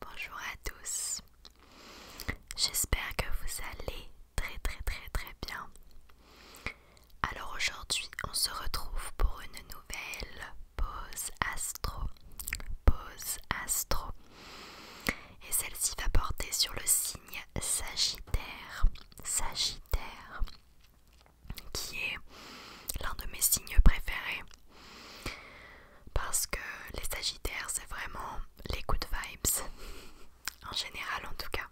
Bonjour à tous, j'espère que vous allez très très très très bien. Alors aujourd'hui on se retrouve pour une nouvelle pause astro. Pause astro. Et celle-ci va porter sur le signe Sagittaire. Sagittaire, qui est l'un de mes signes préférés. Parce que les Sagittaires, c'est vraiment les good vibes. en général, en tout cas.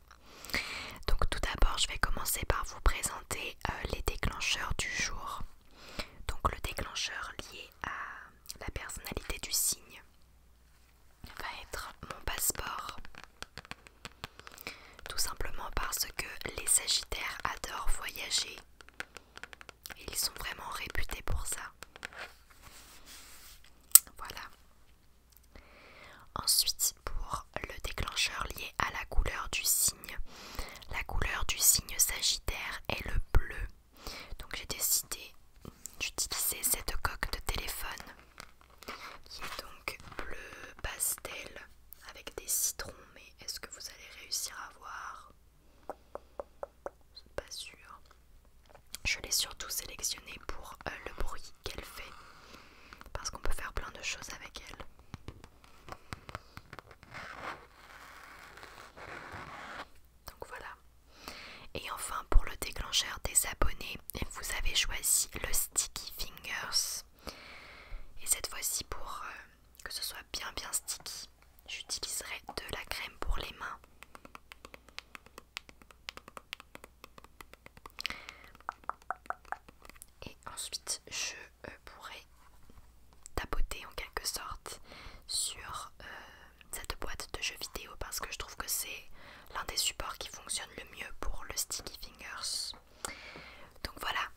Donc, tout d'abord, je vais commencer par vous présenter euh, les déclencheurs du jour. Donc, le déclencheur lié à la personnalité du signe va être mon passeport. Tout simplement parce que les Sagittaires adorent voyager. Ils sont vraiment réputés pour ça. Voilà. Ensuite, pour le déclencheur lié à la couleur du signe, la couleur du signe Sagittaire est le bleu. Donc j'ai décidé d'utiliser cette coque de téléphone qui est donc bleu pastel avec des citrons. Mais est-ce que vous allez réussir à voir Pas sûr. Je l'ai surtout sélectionnée pour euh, le bruit qu'elle fait parce qu'on peut faire plein de choses avec elle. Donc voilà, et enfin pour le déclencheur des abonnés, vous avez choisi le Sticky Fingers. Et cette fois-ci pour euh, que ce soit bien bien sticky, j'utiliserai de la crème pour les mains. Et ensuite je euh, pourrais pourrai tapoter en quelque sorte sur euh, cette boîte de jeux vidéo parce que je trouve que c'est l'un des supports qui fonctionne le mieux pour le sticky fingers. Donc voilà.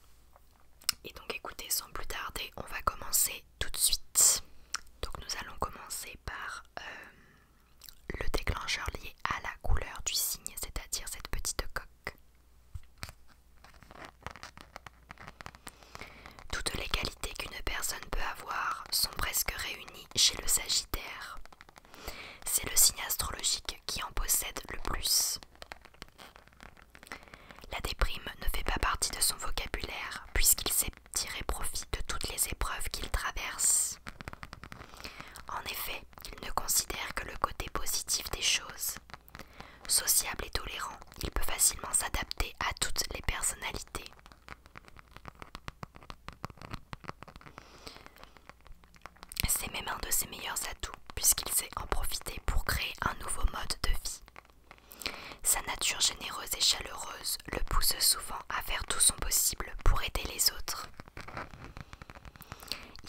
Et donc écoutez, sans plus tarder, on va commencer tout de suite. Donc nous allons commencer par euh, le déclencheur lié à la couleur du signe, c'est-à-dire cette petite coque. Toutes les qualités qu'une personne peut avoir sont presque réunies chez le Sagittaire. C'est le signe astrologique qui en possède le plus. La déprime ne fait pas partie de son vocabulaire puisqu'il sait tirer profit de toutes les épreuves qu'il traverse. En effet, il ne considère que le côté positif des choses. Sociable et tolérant, il peut facilement s'adapter à toutes les personnalités. C'est même un de ses meilleurs atouts, puisqu'il sait en profiter pour créer un nouveau mode de vie. Sa nature généreuse et chaleureuse le pousse souvent à faire tout son possible pour aider les autres.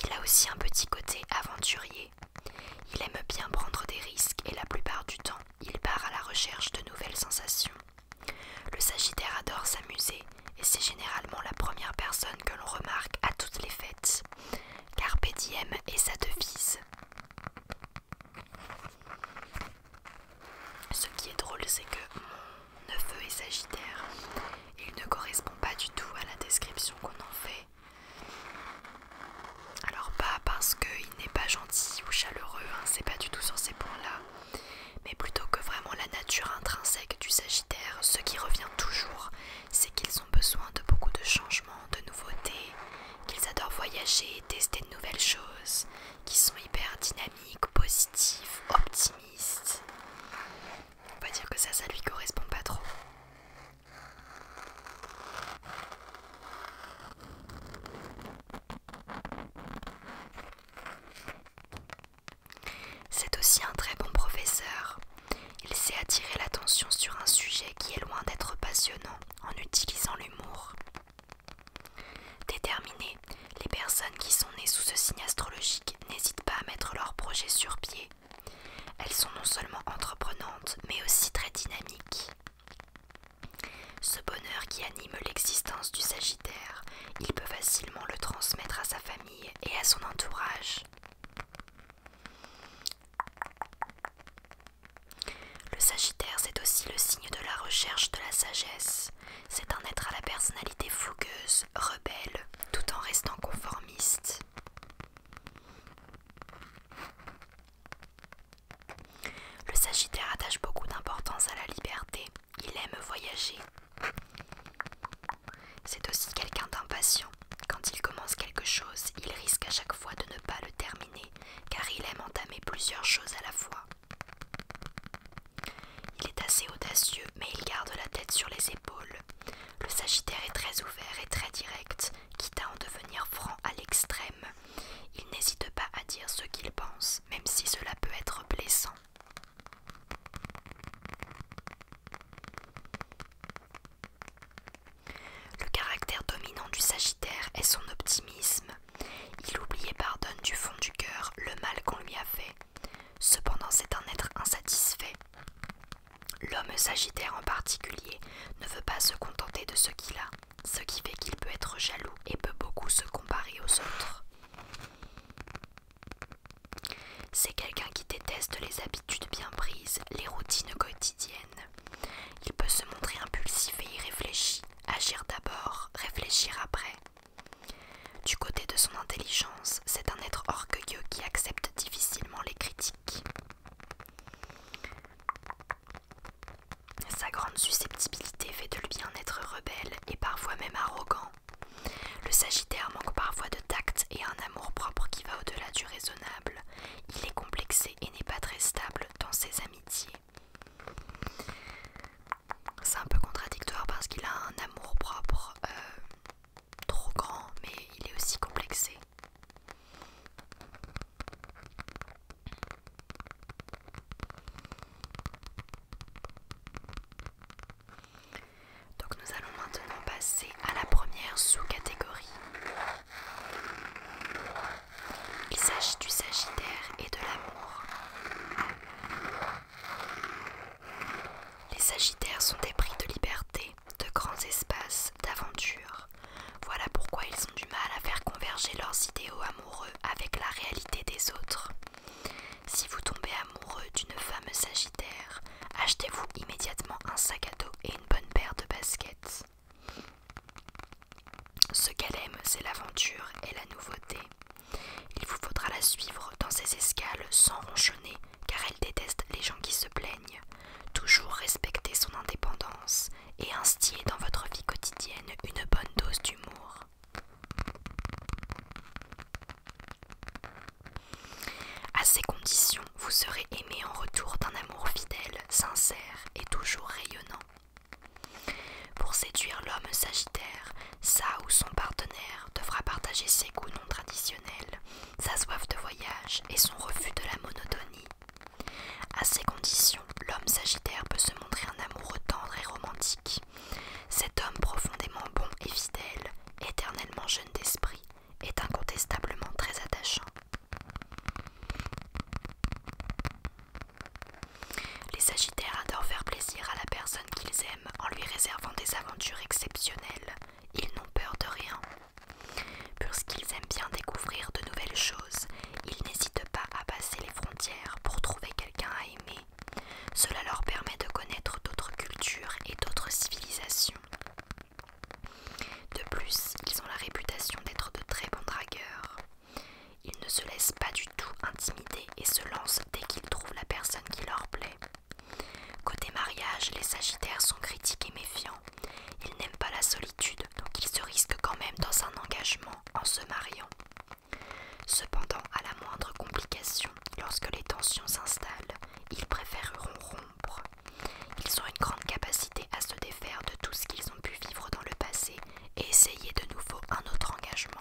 Il a aussi un petit côté aventurier. Il aime bien prendre des risques et la plupart du temps, il part à la recherche de nouvelles sensations. Le Sagittaire adore s'amuser et c'est généralement la première personne que l'on remarque à toutes les fêtes. car diem est sa devise. Ce qui est drôle, c'est que mon neveu est Sagittaire. Il ne correspond pas du tout à la description qu'on en fait. Alors pas parce qu'il n'est pas gentil ou chaleureux, hein, c'est pas du tout sur ces points-là, mais plutôt que vraiment la nature intrinsèque du Sagittaire, ce qui revient toujours, c'est qu'ils ont besoin de beaucoup de changements, de nouveautés, qu'ils adorent voyager, tester de nouvelles choses, qu'ils sont hyper dynamiques, positifs, optimistes. On va dire que ça, ça lui correspond pas trop. C'est aussi un très bon professeur. Il sait attirer l'attention sur un sujet qui est loin d'être passionnant en utilisant l'humour. Déterminées, les personnes qui sont nées sous ce signe astrologique n'hésitent pas à mettre leurs projets sur pied. Elles sont non seulement entreprenantes, mais aussi très dynamiques. Ce bonheur qui anime l'existence du Sagittaire, il peut facilement le transmettre à sa famille et à son entourage. Le Sagittaire, c'est aussi le signe de la recherche de la sagesse. C'est un être à la personnalité fougueuse, rebelle, tout en restant conformiste. Le Sagittaire attache beaucoup d'importance à la liberté. Il aime voyager. C'est aussi quelqu'un d'impatient. Quand il commence quelque chose, il risque à chaque fois de ne pas le terminer, car il aime entamer plusieurs choses à la fois. Il est assez audacieux, mais il garde la tête sur les épaules. Le Sagittaire est très ouvert et très direct, quitte à en devenir franc à l'extrême. Il n'hésite pas à dire ce qu'il pense, même si cela peut être blessant. Le caractère dominant du Sagittaire est son optimisme. Il oublie et pardonne du fond du cœur le mal qu'on lui a fait. Cependant, c'est un être insatisfait. L'homme Sagittaire en particulier ne veut pas se contenter de ce qu'il a ce qui fait qu'il peut être jaloux et peut beaucoup se comparer aux autres. C'est quelqu'un qui déteste les habitudes bien prises, les routines quotidiennes. Il peut se montrer impulsif et irréfléchi, agir d'abord, réfléchir après. Du côté de son intelligence, c'est un être orgueilleux qui accepte difficilement les critiques. Sa grande susceptibilité fait de lui un être rebelle et parfois même arrogant. Le Sagittaire manque parfois de tact et un amour-propre qui va au-delà du raisonnable. Il est complexé et n'est pas très stable dans ses amitiés. C'est un peu contradictoire parce qu'il a un amour-propre euh, trop grand, mais il est aussi complexé. Donc nous allons maintenant passer à la première sous-catégorie. Il s'agit du Sagittaire et de l'amour. Les Sagittaires sont des prix de liberté, de grands espaces, d'aventure. Voilà pourquoi ils ont du mal à faire converger leurs idéaux amoureux avec la réalité des autres. Si vous tombez amoureux d'une femme sagittaire, achetez-vous immédiatement un sac à dos et une bonne paire de baskets. Ce qu'elle aime, c'est l'aventure et la nouveauté. Il vous faudra la suivre dans ses escales sans ronchonner, car elle déteste les gens qui se plaignent. Toujours respecter son indépendance et instiller dans votre vie quotidienne une bonne dose d'humour. À ces conditions, vous serez aimé en retour d'un amour fidèle, sincère et toujours rayonnant. Pour séduire l'homme sagittaire, ça ou son partenaire devra partager ses goûts non traditionnels, sa soif de voyage et son refus de la monotonie, à ces conditions, l'homme sagittaire peut se montrer un amoureux tendre et romantique. Cet homme profondément bon et fidèle, éternellement jeune d'esprit, est incontestablement très attachant. Les sagittaires adorent faire plaisir à la personne qu'ils aiment en lui réservant des aventures exceptionnelles. Ils n'ont peur de rien Puisqu'ils aiment bien découvrir de nouvelles choses, ils n'hésitent pas à passer les frontières pour trouver quelqu'un à aimer. Cela leur permet de connaître d'autres cultures et d'autres civilisations. De plus, ils ont la réputation d'être de très bons dragueurs. Ils ne se laissent pas du tout intimider et se lancent dès qu'ils trouvent la personne qui leur plaît. Côté mariage, les sagittaires sont critiques et méfiants. Ils n'aiment pas la solitude, donc ils se risquent quand même dans un engagement en se mariant. Cependant, à la moindre complication, lorsque les tensions s'installent, ils préféreront rompre. Ils ont une grande capacité à se défaire de tout ce qu'ils ont pu vivre dans le passé et essayer de nouveau un autre engagement.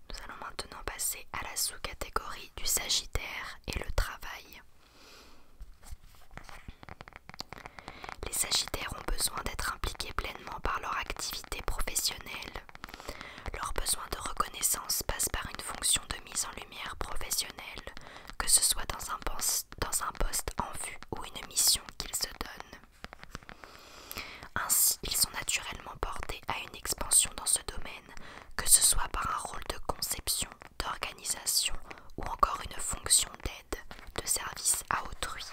Nous allons maintenant passer à la sous-catégorie du Sagittaire et le travail. Les Sagittaires ont besoin d'être impliqués pleinement par leur activité professionnelle. Leur besoin de reconnaissance passe par une fonction de mise en lumière professionnelle, que ce soit dans un poste, en vue ou une mission qu'ils se donnent. Ainsi, ils sont naturellement portés à une expansion dans ce domaine que ce soit par un rôle de conception, d'organisation ou encore une fonction d'aide, de service à autrui.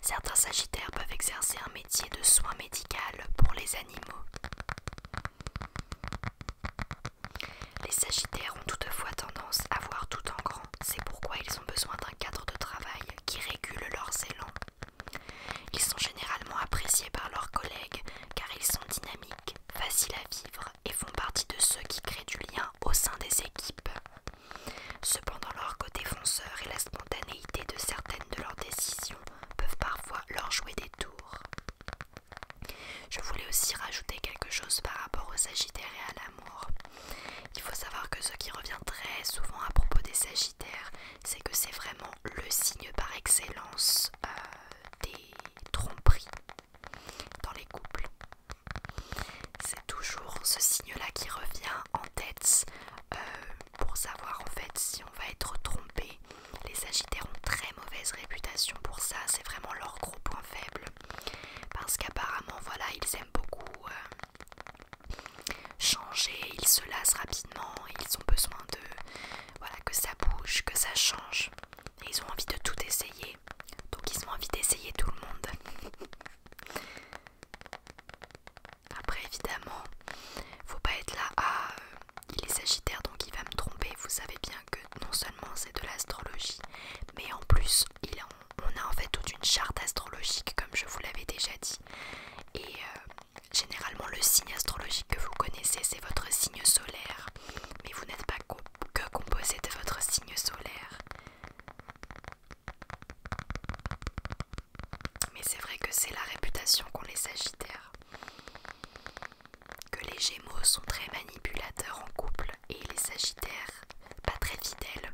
Certains sagittaires peuvent exercer un métier de soins médical pour les animaux. Les sagittaires ont toutefois tendance à voir tout en grand, c'est pourquoi ils ont besoin d'un cadre de travail qui régulent leurs élans. Ils sont généralement appréciés par leurs collègues car ils sont dynamiques, faciles à vivre et font partie de ceux qui créent du lien au sein des équipes. Cependant, leur côté fonceur et la spontanéité de certaines de leurs décisions peuvent parfois leur jouer des tours. Je voulais aussi rajouter quelque chose par rapport aux Sagittaires et à l'amour. Il faut savoir que ce qui revient très souvent à propos des Sagittaires, c'est que c'est vraiment le signe par excellence euh, des tromperies dans les couples. C'est toujours ce signe-là qui revient en tête euh, pour savoir en fait si on va être trompé. Les Sagittaires ont très mauvaise réputation pour ça, c'est vraiment leur gros point faible. Parce qu'apparemment, voilà, ils aiment beaucoup euh, changer, ils se lassent rapidement, ils ont besoin de voilà que ça bouge, que ça change. Et ils ont envie de tout essayer. Donc ils ont envie d'essayer tout le monde. Après évidemment, faut pas être là à ah, euh, il est sagittaire donc il va me tromper. Vous savez bien que non seulement c'est de l'astrologie, mais en plus on a en fait toute une charte astrologique comme je vous l'avais déjà dit. Et euh, Généralement, le signe astrologique que vous connaissez, c'est votre signe solaire. Mais vous n'êtes pas que composé de votre signe solaire. Mais c'est vrai que c'est la réputation qu'ont les sagittaires. Que les gémeaux sont très manipulateurs en couple et les sagittaires pas très fidèles.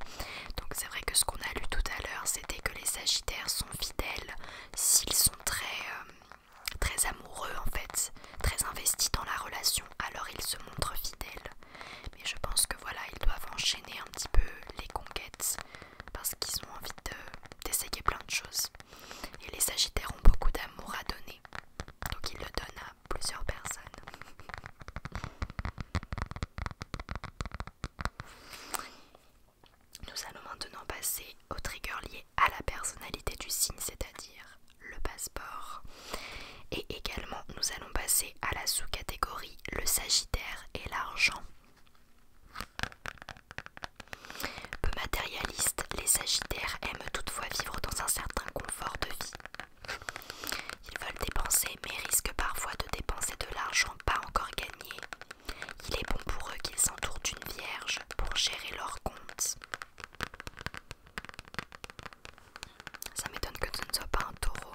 Donc c'est vrai que ce qu'on a lu tout à l'heure, c'était que les sagittaires sont fidèles s'ils sont euh, très, amoureux en fait, très investis dans la relation, alors ils se montrent fidèles. Mais je pense que voilà, ils doivent enchaîner un petit peu les conquêtes parce qu'ils ont envie d'essayer plein de choses. Et les Sagittaires ont beaucoup d'amour à donner, donc ils le donnent à plusieurs personnes. Nous allons maintenant passer au trigger lié à la personnalité du signe, c'est-à-dire le passeport. Et également, nous allons passer à la sous-catégorie le sagittaire et l'argent. Peu matérialistes, les sagittaires aiment toutefois vivre dans un certain confort de vie. Ils veulent dépenser mais risquent parfois de dépenser de l'argent pas encore gagné il est bon pour eux qu'ils s'entourent d'une vierge pour gérer leurs comptes. Ça m'étonne que ce ne soit pas un taureau.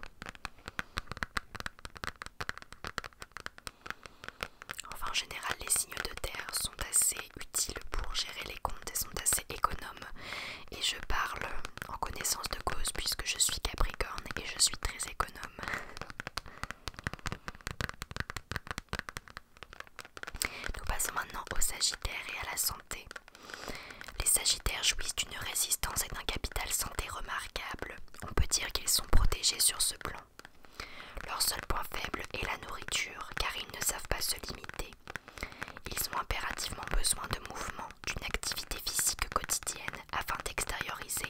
Enfin, en général, les signes de terre sont assez utiles pour gérer les comptes et sont assez économes. Et je parle en connaissance de cause puisque je suis capricorne et je suis très économe. Nous passons maintenant aux Sagittaires et à la santé. Les Sagittaires jouissent d'une résistance et d'un capital santé remarquable. On peut dire qu'ils sont protégés sur ce plan. Leur seul point faible est la nourriture, car ils ne savent pas se limiter. Ils ont impérativement besoin de mouvement, d'une activité physique quotidienne afin d'extérioriser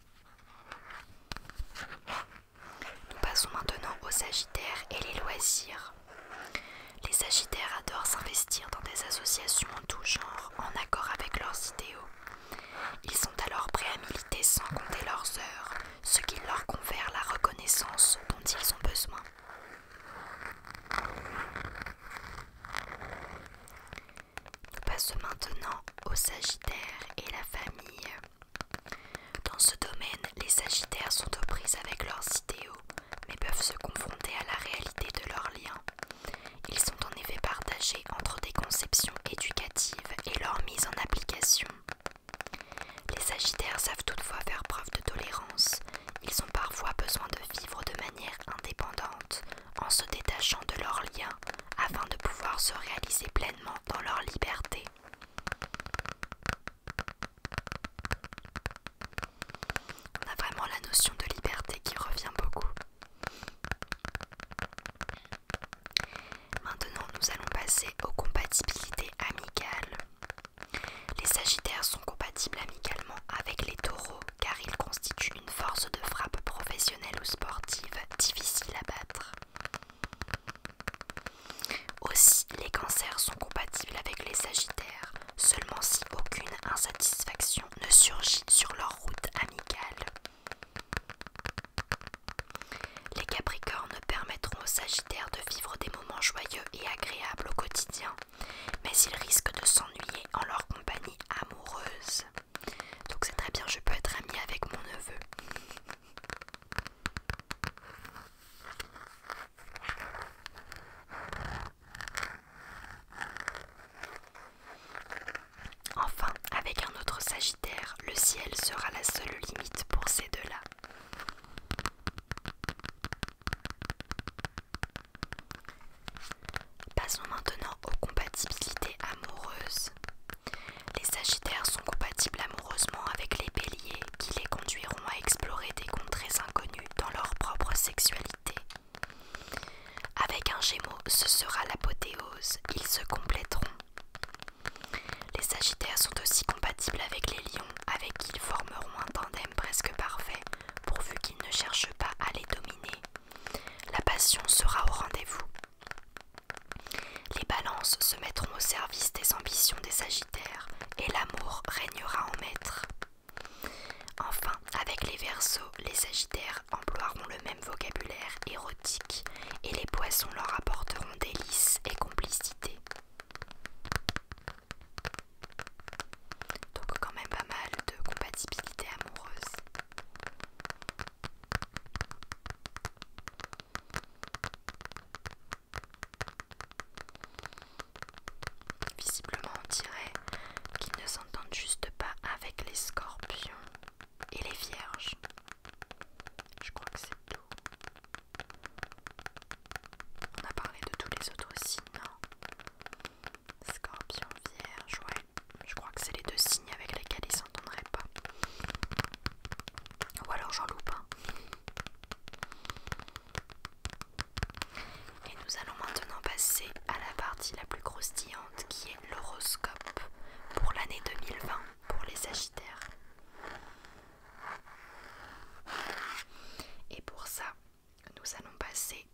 Nous passons maintenant aux Sagittaires et les loisirs. Les Sagittaires adorent s'investir dans des associations en tout genre, en accord avec leurs idéaux. Ils sont alors prêts à militer sans compter leurs heures, ce qui leur confère la reconnaissance dont ils ont besoin. Nous passons maintenant aux Sagittaires et la famille. Dans ce domaine, les Sagittaires sont aux prises avec leurs idéaux, mais peuvent se confronter à la réalité de leurs liens. Ils sont en effet partagés entre des conceptions éducatives et leur mise en application. Les Sagittaires savent toutefois faire preuve de tolérance. Ils ont parfois besoin de vivre de manière indépendante en se détachant de leurs liens afin de pouvoir se réaliser pleinement dans leur liberté. On a vraiment la notion de liberté qui revient beaucoup. Maintenant, nous allons passer aux compatibilités amicales. Les Sagittaires sont compatibles amicalement avec les Taureaux, car ils constituent une force de frappe professionnelle ou sportive difficile à battre. Aussi, les cancers sont compatibles avec les sagittaires, seulement si aucune insatisfaction ne surgit sur leur route amicale. Les capricornes permettront aux sagittaires de vivre des moments joyeux et agréables au quotidien, mais ils risquent de s'ennuyer en leur compagnie amoureuse. Donc c'est très bien, je peux être amie avec mon neveu. Enfin, avec un autre Sagittaire, le ciel sera la seule limite pour ces deux-là. Passons maintenant aux compatibilités amoureuses. Les Sagittaires sont compatibles amoureusement avec les Béliers qui les conduiront à explorer des contrées inconnues dans leur propre sexualité. Avec un Gémeaux, ce sera l'apothéose, ils se compléteront. Les Sagittaires sont aussi compatibles avec les Lions, avec qui ils formeront un tandem presque parfait, pourvu qu'ils ne cherchent pas à les dominer, la passion sera au rendez-vous. Les balances se mettront au service des ambitions des sagittaires et l'amour régnera en maître. Enfin, avec les versos, les sagittaires emploieront le même vocabulaire érotique et les poissons leur apporteront délices et complicité. Donc quand même pas mal de compatibilité amoureuse. Visiblement, on dirait qu'ils ne s'entendent juste pas avec les scorpions et les vierges. Je crois que c'est tout. On a parlé de tous les autres signes. Scorpion, vierge, ouais. Je crois que c'est les deux signes avec lesquels ils s'entendraient pas. Ou alors j'en loupe un. Et nous allons maintenant passer à la partie la plus croustillante qui est l'horoscope pour l'année 2020 pour les Sagittaires. Et pour ça, nous allons passer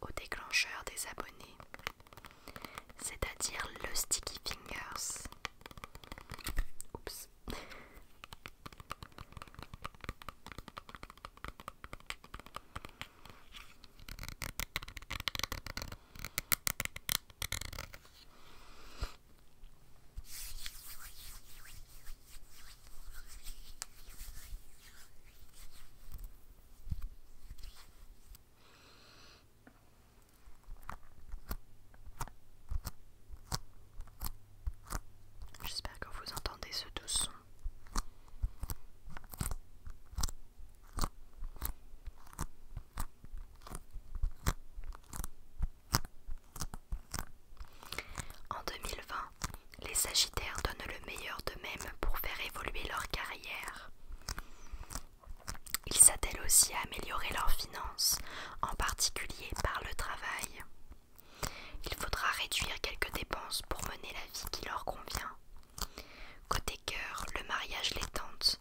au déclencheur des abonnés, c'est-à-dire le sticky fingers. J'espère que vous entendez ce doux son. En 2020, les Sagittaires donnent le meilleur d'eux-mêmes pour faire évoluer leur carrière ils s'attellent aussi à améliorer leurs finances, en particulier par le travail. Il faudra réduire quelques dépenses pour mener la vie qui leur convient. Côté cœur, le mariage les tente.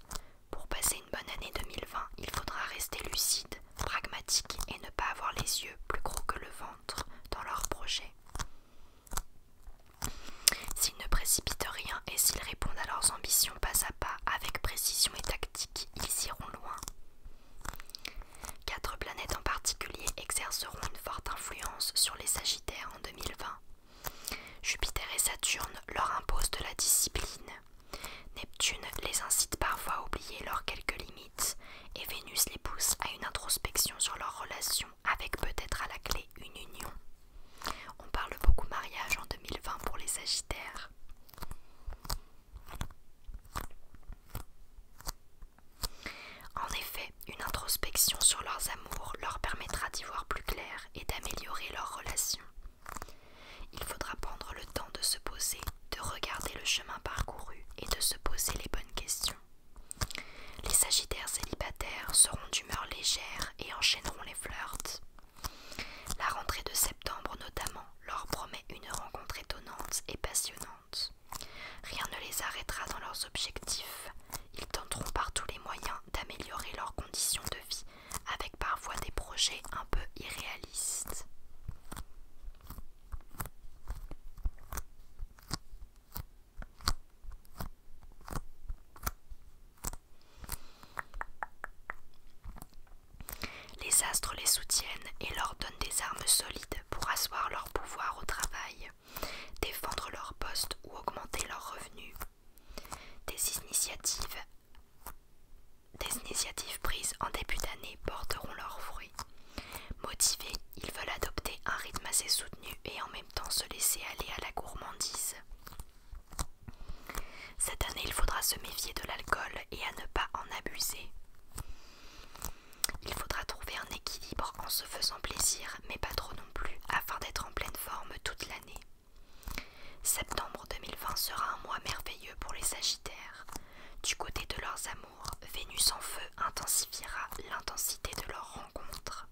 Pour passer une bonne année 2020, il faudra rester lucide, pragmatique et ne pas avoir les yeux plus gros que le ventre dans leurs projets. S'ils ne précipitent rien et s'ils répondent à leurs ambitions pas à pas, avec précision et tactique, ils iront loin. Quatre planètes en particulier exerceront une forte influence sur les Sagittaires en 2020. Jupiter et Saturne leur imposent de la discipline. Neptune les incite parfois à oublier leurs quelques limites et Vénus les pousse à une introspection sur leurs relations avec peut-être à la clé une union. On parle beaucoup mariage en 2020 pour les Sagittaires. En effet, une introspection sur leurs amours leur permettra d'y voir plus clair et d'améliorer leurs relations. Il faudra prendre le temps de se poser, de regarder le chemin parcouru et de se poser les bonnes questions. Les sagittaires célibataires seront d'humeur légère et enchaîneront les flirts. La rentrée de septembre notamment leur promet une rencontre étonnante et passionnante. Rien ne les arrêtera dans leurs objectifs. Ils tenteront par tous les moyens d'améliorer leurs conditions de vie avec parfois des projets un peu irréalistes. Les astres les soutiennent et leur donnent des armes solides pour asseoir leur pouvoir au travail, défendre leur poste ou augmenter leur revenu. Des initiatives, prises en début d'année porteront leurs fruits. Motivés, ils veulent adopter un rythme assez soutenu et en temps se laisser aller à la gourmandise. Cette année, il faudra se méfier de l'alcool et à ne pas en abuser. Il faudra trouver un équilibre en se faisant plaisir, mais pas trop non plus, afin d'être en pleine forme toute l'année. Septembre 2020 sera un mois merveilleux pour les Sagittaires. Du côté de leurs amours, Vénus en feu intensifiera l'intensité de leur rencontre.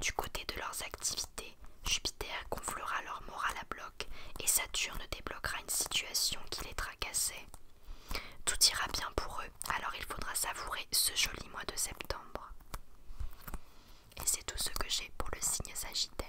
Du côté de leurs activités, Jupiter gonflera leur morale à bloc et Saturne débloquera une situation qui les tracassait. Tout ira bien pour eux, alors il faudra savourer ce joli mois de septembre. Et c'est tout ce que j'ai pour le signe Sagittaire.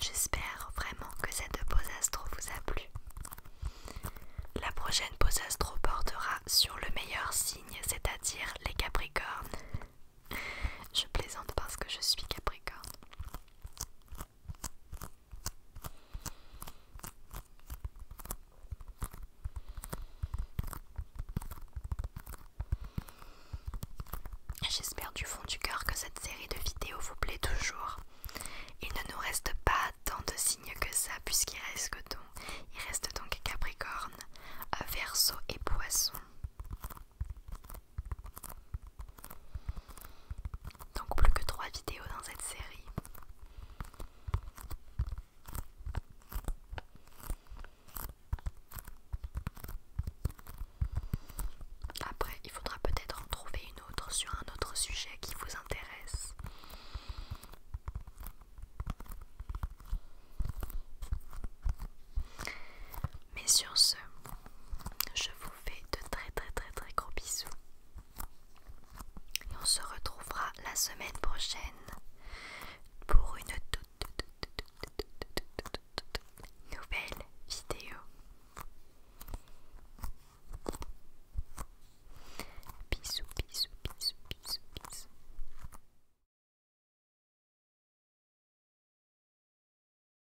J'espère vraiment que cette pause astro vous a plu. La prochaine pause astro portera sur le meilleur signe, c'est-à-dire les Capricornes. Je plaisante parce que je suis Capricorne. J'espère du fond du cœur que cette série de vidéos vous plaît toujours. Il ne nous reste pas tant de signes que ça puisqu'il reste donc, il reste donc Capricorne, Verseau et Poisson. Donc plus que trois vidéos dans cette série. Après, il faudra peut-être en trouver une autre sur un autre sujet qui vous intéresse. Mais sur ce, je vous fais de très très très très gros bisous. Et on se retrouvera la semaine prochaine pour une nouvelle vidéo. Bisous, bisous, bisous, bisous, bisous.